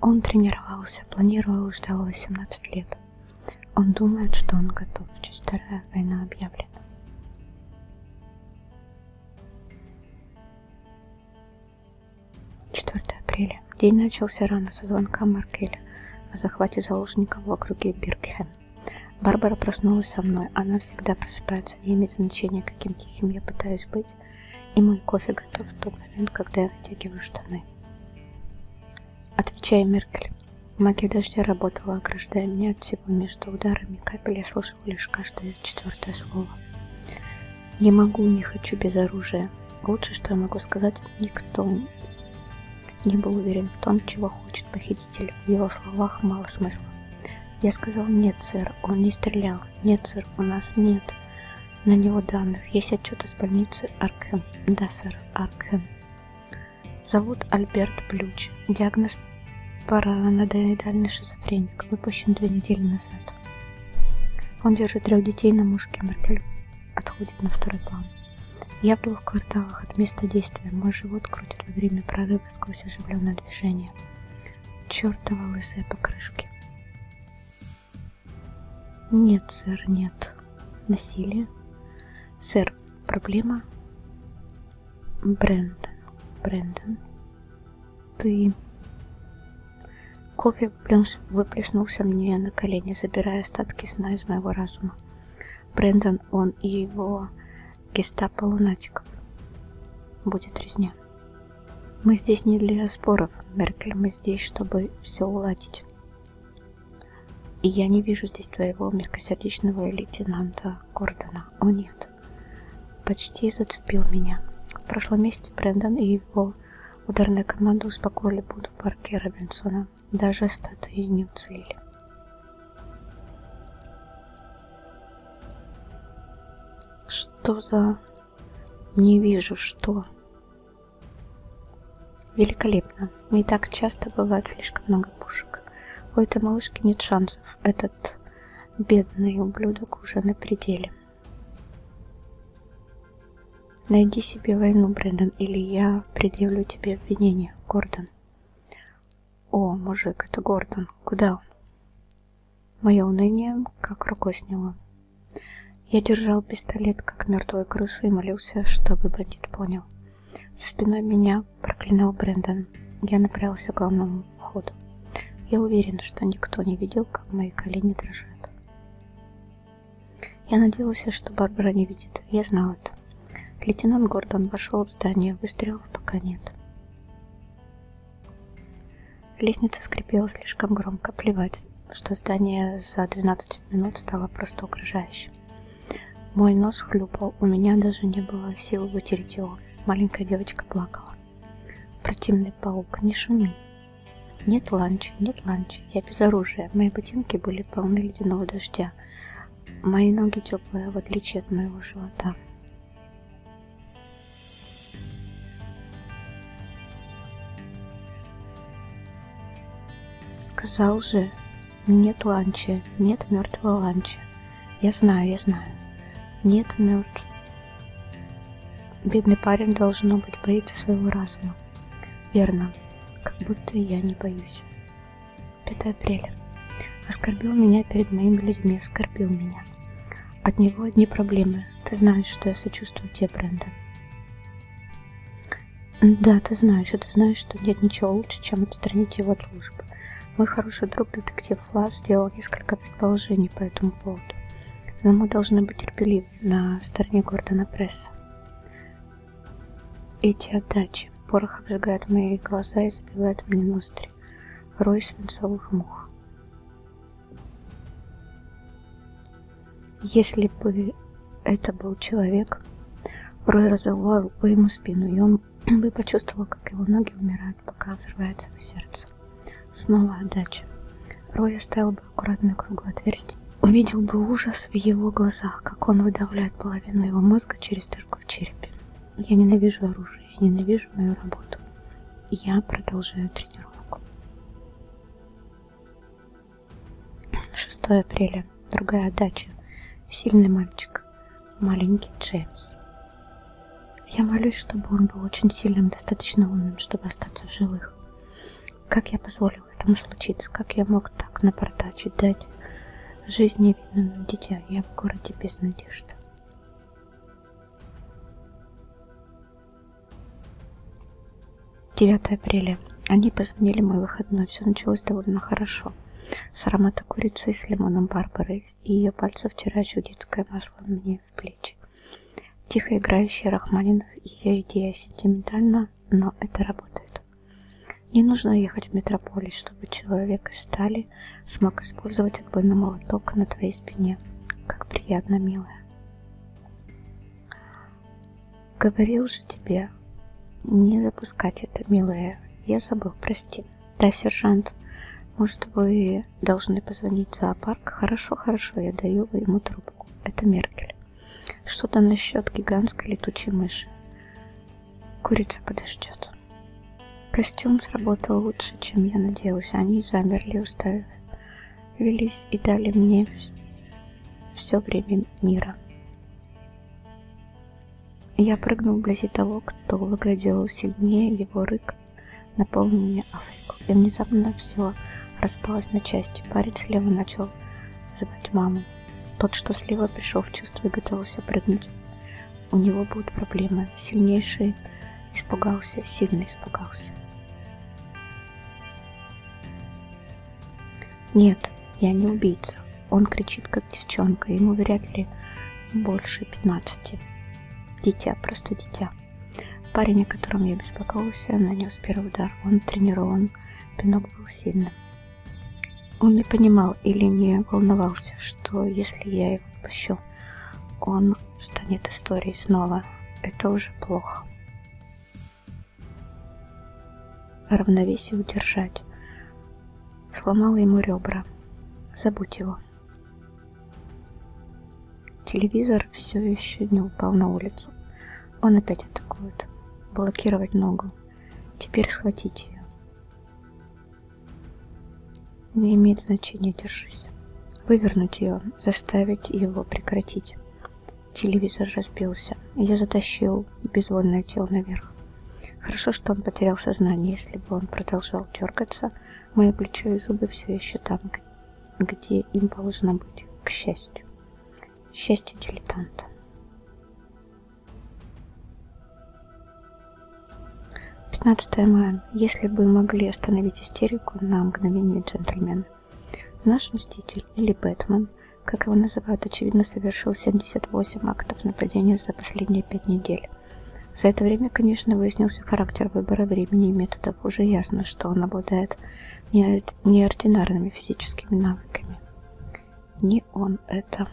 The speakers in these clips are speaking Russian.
Он тренировался, планировал и ждал 18 лет. Он думает, что он готов. Часть вторая война объявлена. Четвертое апреля. День начался рано со звонка Маркеля о захвате заложников в округе Биркхем. Барбара проснулась со мной. Она всегда просыпается, не имеет значения, каким тихим я пытаюсь быть вытянуть, и мой кофе готов в тот момент, когда я натягиваю штаны. Отвечая Меркель, магия дождя работала, ограждая меня от всего между ударами капель, я слышал лишь каждое четвертое слово. Не могу, не хочу без оружия. Лучше, что я могу сказать, никто не был уверен в том, чего хочет похититель. В его словах мало смысла. Я сказал «нет, сэр, он не стрелял». Нет, сэр, у нас нет на него данных. Есть отчет из больницы Аркхэм. Да, сэр, Аркхэм. Зовут Альберт Блюч. Диагноз параноидальный шизофреник. Выпущен две недели назад. Он держит трех детей на мушке. А Маркель отходит на второй план. Я был в кварталах от места действия. Мой живот крутит во время прорыва сквозь оживленное движение чертова лысая покрышки. Нет, сэр, нет. Насилие. Сэр, проблема. Брэндон, Брэндон, ты... Кофе выплеснулся мне на колени, забирая остатки сна из моего разума. Брэндон, он и его гестапо лунатиков. Будет резня. Мы здесь не для споров, Меркель, мы здесь, чтобы все уладить. И я не вижу здесь твоего мягкосердечного лейтенанта Гордона. О нет, почти зацепил меня. В прошлом месяце Брэндон и его ударная команда успокоили Буду в парке Робинсона. Даже статуи не уцелели. Что за... Не вижу, что... Великолепно. Не так часто бывает слишком много пушек. У этой малышки нет шансов. Этот бедный ублюдок уже на пределе. Найди себе войну, Брэндон, или я предъявлю тебе обвинение, Гордон. О, мужик, это Гордон. Куда он? Мое уныние как рукой сняло. Я держал пистолет, как мертвую крысу, и молился, чтобы бандит понял. За спиной меня проклинал Брэндон. Я направился к главному входу. Я уверен, что никто не видел, как мои колени дрожат. Я надеялся, что Барбара не видит. Я знал это. Лейтенант Гордон вошел в здание. Выстрелов пока нет. Лестница скрипела слишком громко. Плевать, что здание за 12 минут стало просто угрожающим. Мой нос хлюпал, у меня даже не было сил вытереть его. Маленькая девочка плакала. Противный паук, не шуми. Нет ланча, нет ланча, я без оружия. Мои ботинки были полны ледяного дождя. Мои ноги теплые, в отличие от моего живота. Сказал же, нет ланча, нет мертвого ланча. Я знаю, я знаю. Нет мертв. Бедный парень, должно быть, боится своего разума. Верно, как будто я не боюсь. 5 апреля. Оскорбил меня перед моими людьми, оскорбил меня. От него одни проблемы. Ты знаешь, что я сочувствую тебе, Бренда. Да, ты знаешь, и а ты знаешь, что нет ничего лучше, чем отстранить его от службы. Мой хороший друг, детектив Флас, сделал несколько предположений по этому поводу. Но мы должны быть терпеливы на стороне Гордона Пресса. Эти отдачи. Порох обжигает мои глаза и забивает мне ноздри рой свинцовых мух. Если бы это был человек, Рой разорвал рукой ему спину, и он бы почувствовал, как его ноги умирают, пока взрывается его сердце. Снова отдача. Рой оставил бы аккуратное круглое отверстие, увидел бы ужас в его глазах, как он выдавляет половину его мозга через дырку в черепе. Я ненавижу оружие муж, я ненавижу мою работу. Я продолжаю тренировку. 6 апреля. Другая дача. Сильный мальчик. Маленький Джеймс. Я молюсь, чтобы он был очень сильным, достаточно умным, чтобы остаться в живых. Как я позволил этому случиться? Как я мог так напортачить, дать Жизнь невинного дитя, я в городе без надежды. Девятое апреля. Они позвонили мой выходной. Все началось довольно хорошо. С аромата курицы и с лимоном Барбары. И ее пальцев вчера еще детское масло мне в плечи. Тихо играющий Рахманинов и ее идея сентиментально, но это работает. Не нужно ехать в метрополис, чтобы человек из стали смог использовать отбойный молоток на твоей спине. Как приятно, милая. Говорил же тебе не запускать это, милая. Я забыл, прости. Да, сержант, может, вы должны позвонить в зоопарк? Хорошо, хорошо, я даю ему трубку. Это Меркель. Что-то насчет гигантской летучей мыши. Курица подождет. А костюм сработал лучше, чем я надеялась. Они замерли, уставились и дали мне все время мира. Я прыгнул вблизи того, кто выглядел сильнее, его рык наполнил мне Африку. И внезапно все распалось на части. Парень слева начал звать маму. Тот, что слева, пришел в чувство и готовился прыгнуть. У него будут проблемы. Сильнейший испугался, сильно испугался. Нет, я не убийца. Он кричит, как девчонка. Ему вряд ли больше 15. Дитя, просто дитя. Парень, о котором я беспокоился, нанес первый удар. Он тренирован. Пинок был сильным. Он не понимал или не волновался, что если я его отпущу, он станет историей снова. Это уже плохо. Равновесие удержать. Сломал ему ребра. Забудь его. Телевизор все еще не упал на улицу. Он опять атакует. Блокировать ногу. Теперь схватите ее. Не имеет значения, держись. Вывернуть ее, заставить его прекратить. Телевизор разбился. Я затащил безвольное тело наверх. Хорошо, что он потерял сознание. Если бы он продолжал дергаться, мои плечо и зубы все еще там, где им положено быть, к счастью. Счастье дилетанта. 15 мая. Если бы могли остановить истерику на мгновение джентльмена. Наш Мститель, или Бэтмен, как его называют, очевидно совершил 78 актов нападения за последние 5 недель. За это время, конечно, выяснился характер выбора времени и методов. Уже ясно, что он обладает неординарными физическими навыками. Не он вам это.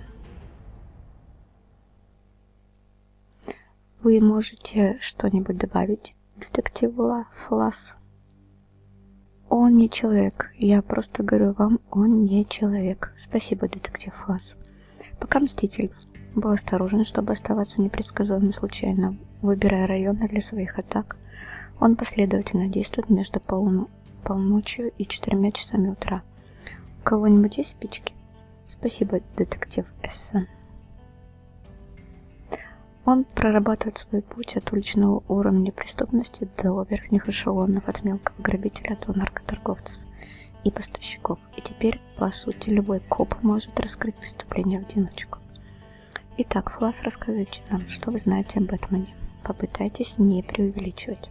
Вы можете что-нибудь добавить, детектив Флас? Он не человек. Я просто говорю вам, он не человек. Спасибо, детектив Флас. Пока мститель. Был осторожен, чтобы оставаться непредсказуемым случайно, выбирая районы для своих атак. Он последовательно действует между полуночью между полночью и четырьмя часами утра. У кого-нибудь есть спички? Спасибо, детектив Эссон. Он прорабатывает свой путь от уличного уровня преступности до верхних эшелонов, от мелкого грабителя до наркоторговцев и поставщиков. И теперь, по сути, любой коп может раскрыть преступление в одиночку. Итак, Флас, расскажите нам, что вы знаете об Бэтмене попытайтесь не преувеличивать.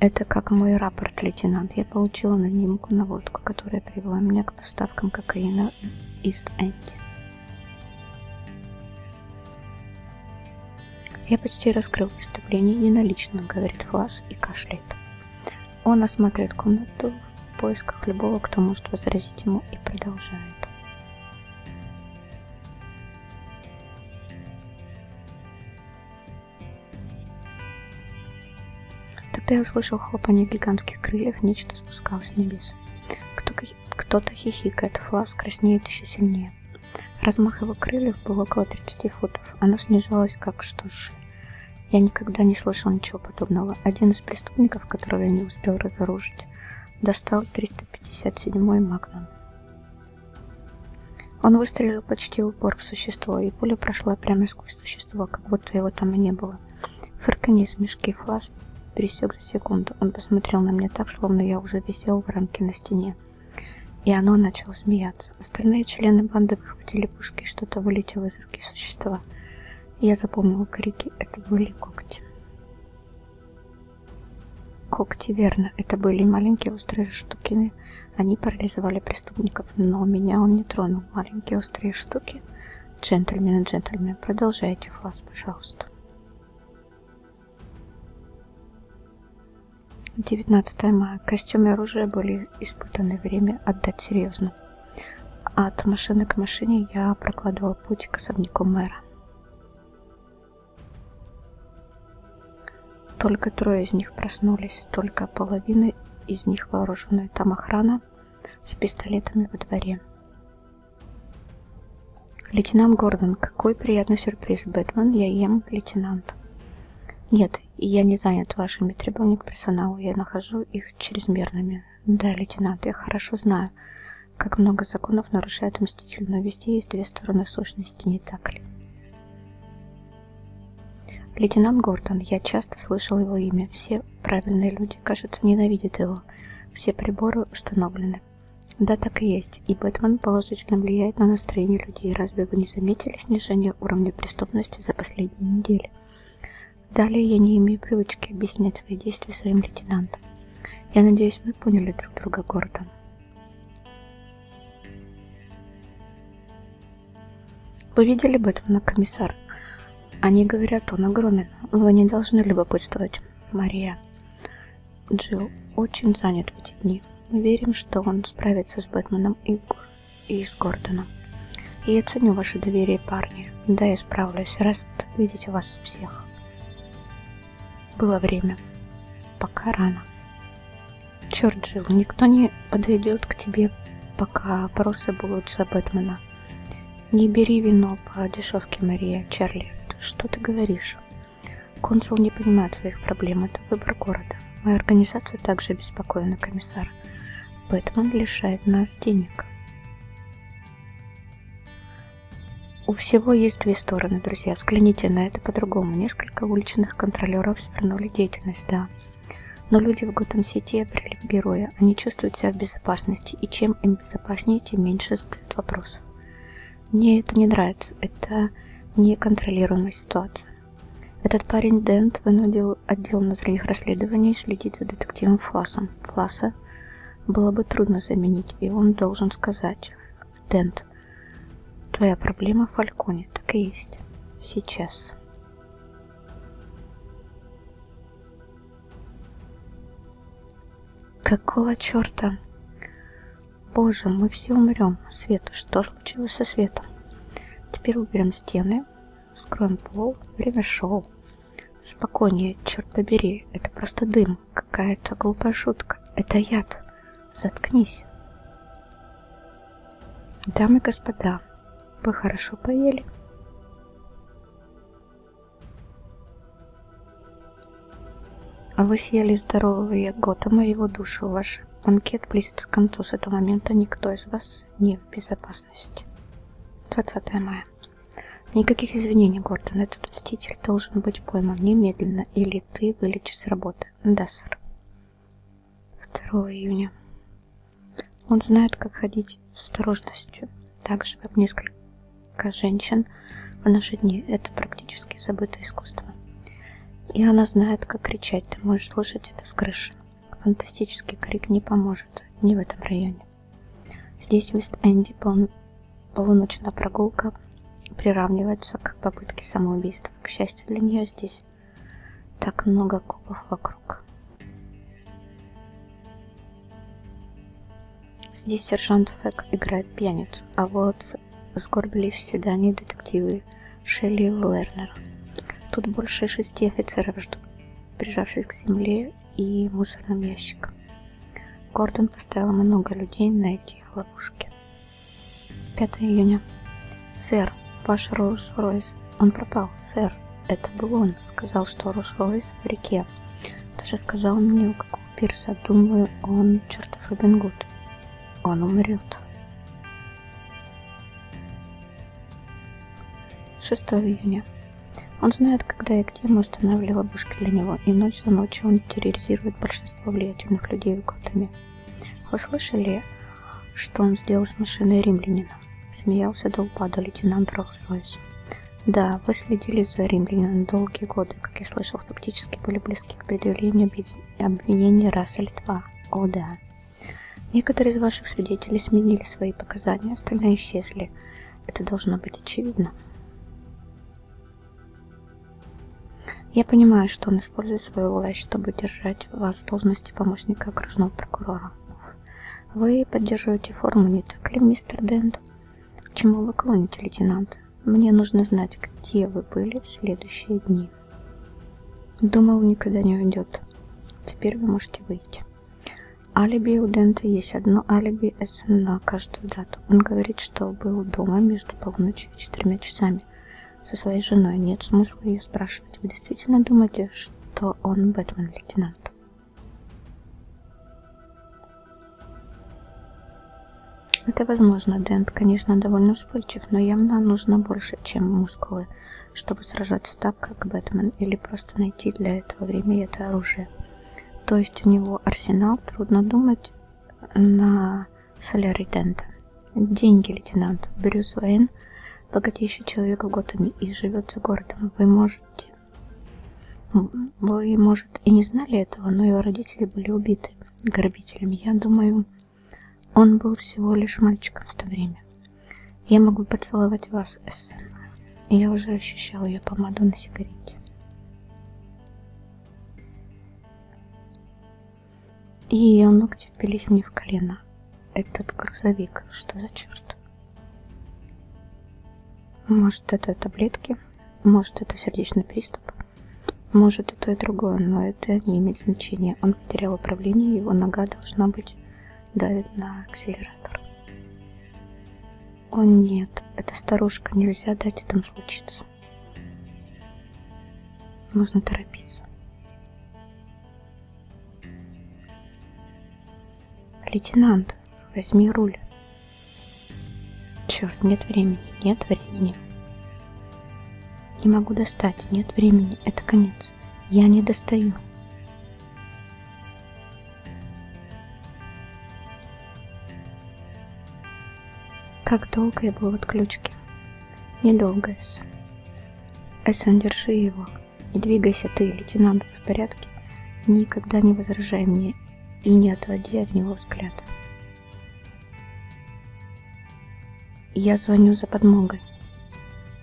Это как мой рапорт, лейтенант. Я получила анонимку на водку, которая привела меня к поставкам кокаина в Ист-Энди. Я почти раскрыл преступление неналично, говорит Флас и кашляет. Он осматривает комнату в поисках любого, кто может возразить ему и продолжает. Тогда я услышал хлопанье гигантских крыльев, нечто спускалось с небес. Кто-то хихикает, а флаз краснеет еще сильнее. Размах его крыльев был около 30 футов. Оно снижалось как штуш. Я никогда не слышал ничего подобного. Один из преступников, которого я не успел разоружить, достал 300 57-й Магнум. Он выстрелил почти в упор в существо, и пуля прошла прямо сквозь существо, как будто его там и не было. Фырканье смешки флаз пересек за секунду. Он посмотрел на меня так, словно я уже висел в рамке на стене. И оно начало смеяться. Остальные члены банды выхватили пушки, и что-то вылетело из руки существа. Я запомнил крики, это были когти. Когти, верно, это были маленькие острые штукины. Они парализовали преступников, но меня он не тронул. Маленькие острые штуки. Джентльмены, джентльмены, продолжайте флаз, пожалуйста. 19 мая. Костюм и оружие были испытаны. Время отдать серьезно. От машины к машине я прокладывал путь к особняку мэра. Только трое из них проснулись, только половина из них вооружена. Там охрана с пистолетами во дворе. Лейтенант Гордон, какой приятный сюрприз, Бэтмен, я ем лейтенант. Нет, я не занят вашими требованиями к персоналу, я нахожу их чрезмерными. Да, лейтенант, я хорошо знаю, как много законов нарушает мститель, но везде есть две стороны сущности, не так ли? Лейтенант Гордон, я часто слышал его имя. Все правильные люди, кажется, ненавидят его. Все приборы установлены. Да, так и есть, и Бэтмен положительно влияет на настроение людей. Разве вы не заметили снижение уровня преступности за последние недели? Далее я не имею привычки объяснять свои действия своим лейтенантам. Я надеюсь, мы поняли друг друга, Гордон. Вы видели Бэтмена, комиссар? Они говорят, он огромен. Вы не должны любопытствовать, Мария. Джилл очень занят в эти дни. Мы верим, что он справится с Бэтменом и, и с Гордоном. И я ценю ваше доверие, парни. Да, я справлюсь, раз видеть вас всех. Было время. Пока рано. Черт жил, никто не подойдет к тебе, пока порося Булуджа Бэтмена. Не бери вино по дешевке, Мария, Чарли. Что ты говоришь? Консул не понимает своих проблем, это выбор города. Моя организация также обеспокоена, комиссар. Бэтмен лишает нас денег. У всего есть две стороны, друзья. Взгляните на это по-другому. Несколько уличных контролеров свернули деятельность, да. Но люди в Готэм-Сити обрели героя. Они чувствуют себя в безопасности. И чем им безопаснее, тем меньше задают вопросов. Мне это не нравится. Это неконтролируемая ситуация. Этот парень Дент вынудил отдел внутренних расследований следить за детективом Фласом. Фласа Дента было бы трудно заменить, и он должен сказать. Дент, твоя проблема в Фальконе, так и есть. Сейчас. Какого черта? Боже, мы все умрем. Свет, что случилось со светом? Теперь уберем стены, Скромпол, время шоу. Спокойнее, черт побери, это просто дым, какая-то глупая шутка, это яд. Заткнись. Дамы и господа, вы хорошо поели? А вы съели здоровье Готэма и его душу. Ваш банкет близится к концу. С этого момента никто из вас не в безопасности. 20 мая. Никаких извинений, Гордон, этот мститель должен быть пойман немедленно, или ты вылечишь с работы. Да, сэр. 2 июня. Он знает, как ходить с осторожностью, так же, как несколько женщин в наши дни. Это практически забытое искусство. И она знает, как кричать. Ты можешь слышать это с крыши. Фантастический крик не поможет. Не в этом районе. Здесь мисс Энди пол... полуночная прогулка приравнивается к попытке самоубийства. К счастью для нее здесь так много кубов вокруг. Здесь сержант Фэк играет пьяницу, а вот сгорбились в седании детективы Шелли и Лернер. Тут больше шести офицеров ждут прижавшись к земле и мусорным ящикам. Гордон поставил много людей на эти ловушки. 5 июня. «Сэр, ваш Роллс-Ройс. Он пропал, сэр. Это был он. Сказал, что Роллс-Ройс в реке. Даже сказал мне, у какого пирса. Думаю, он чертов Робин Гуд. Он умрет». 6 июня. Он знает, когда и где мы устанавливали ловушки для него, и ночь за ночью он терроризирует большинство влиятельных людей в Готэме. Вы слышали, что он сделал с машиной римлянина? Смеялся до упада лейтенант Роллс-Ройс. Да, вы следили за римлянином долгие годы, как я слышал, фактически были близки к предъявлению обвинения раз или два. О да, Некоторые из ваших свидетелей сменили свои показания, остальные исчезли. Это должно быть очевидно. Я понимаю, что он использует свою власть, чтобы держать вас в должности помощника окружного прокурора. Вы поддерживаете форму, не так ли, мистер Дент? К чему вы клоните, лейтенант? Мне нужно знать, где вы были в следующие дни. Думал, никогда не уйдет. Теперь вы можете выйти. Алиби у Дента есть одно алиби СН на каждую дату. Он говорит, что был дома между полуночью и четырьмя часами со своей женой. Нет смысла ее спрашивать. Вы действительно думаете, что он Бэтмен-лейтенант? Это возможно, Дент, конечно, довольно вспыльчив, но явно нужно больше, чем мускулы чтобы сражаться так, как Бэтмен, или просто найти для этого время и это оружие. То есть у него арсенал, трудно думать, на солярий Дента. Деньги, лейтенант. Брюс Уэйн, богатейший человек в Готэме и живет за городом. Вы можете... Вы, может, и не знали этого, но его родители были убиты грабителями. Я думаю, он был всего лишь мальчиком в то время. Я могу поцеловать вас, Эссен. Я уже ощущал ее помаду на сигарете. И ее ногти впились мне в колено. Этот грузовик, что за черт? Может, это таблетки, может, это сердечный приступ, может, и то, и другое, но это не имеет значения. Он он потерял управление, его нога должна быть давит на акселератор. О нет, эта старушка, нельзя дать этому случиться. Нужно торопиться. Лейтенант, возьми руль. Черт, нет времени, нет времени. Не могу достать, нет времени, это конец конец. Я не достаю. Как долго я был в отключке? Недолго, Эссан. Эссан, держи его. И двигайся ты, лейтенант, в порядке. Никогда не возражай мне и не отводи от него взгляд. Я звоню за подмогой.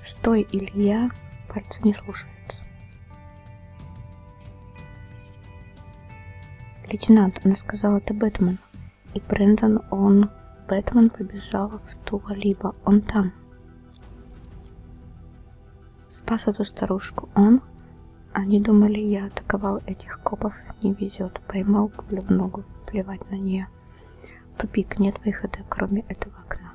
Стой, Илья, пальцы не слушаются. Лейтенант, она сказала, ты Бэтмен. И Брэндон, он... Бэтмен побежал в ту либо он там. Спас эту старушку он. Они думали, я атаковал этих копов, не везет. Поймал пулю в ногу, плевать на нее время. Тупик, нет выхода, кроме этого окна.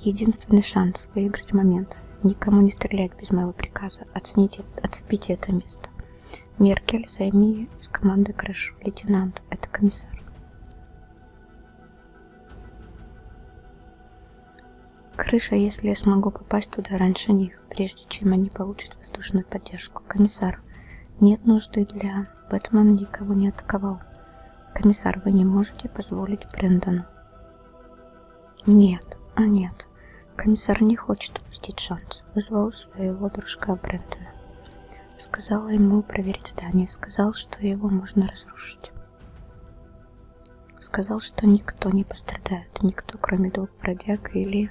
Единственный шанс выиграть момент. Никому не стрелять без моего приказа. Оцените, оцепите это место. Меркель, займи с команды крышу. Лейтенант, это комиссар. Крыша, если я смогу попасть туда раньше них их, прежде чем они получат воздушную поддержку. Комиссар, нет нужды для... Бэтмен никого не атаковал. Комиссар, вы не можете позволить Брэндону. Нет, а нет. Комиссар не хочет упустить шанс. Вызвал своего дружка Брэндона. Сказала ему проверить здание. Сказал, что его можно разрушить. Сказал, что никто не пострадает. Никто, кроме двух бродяг или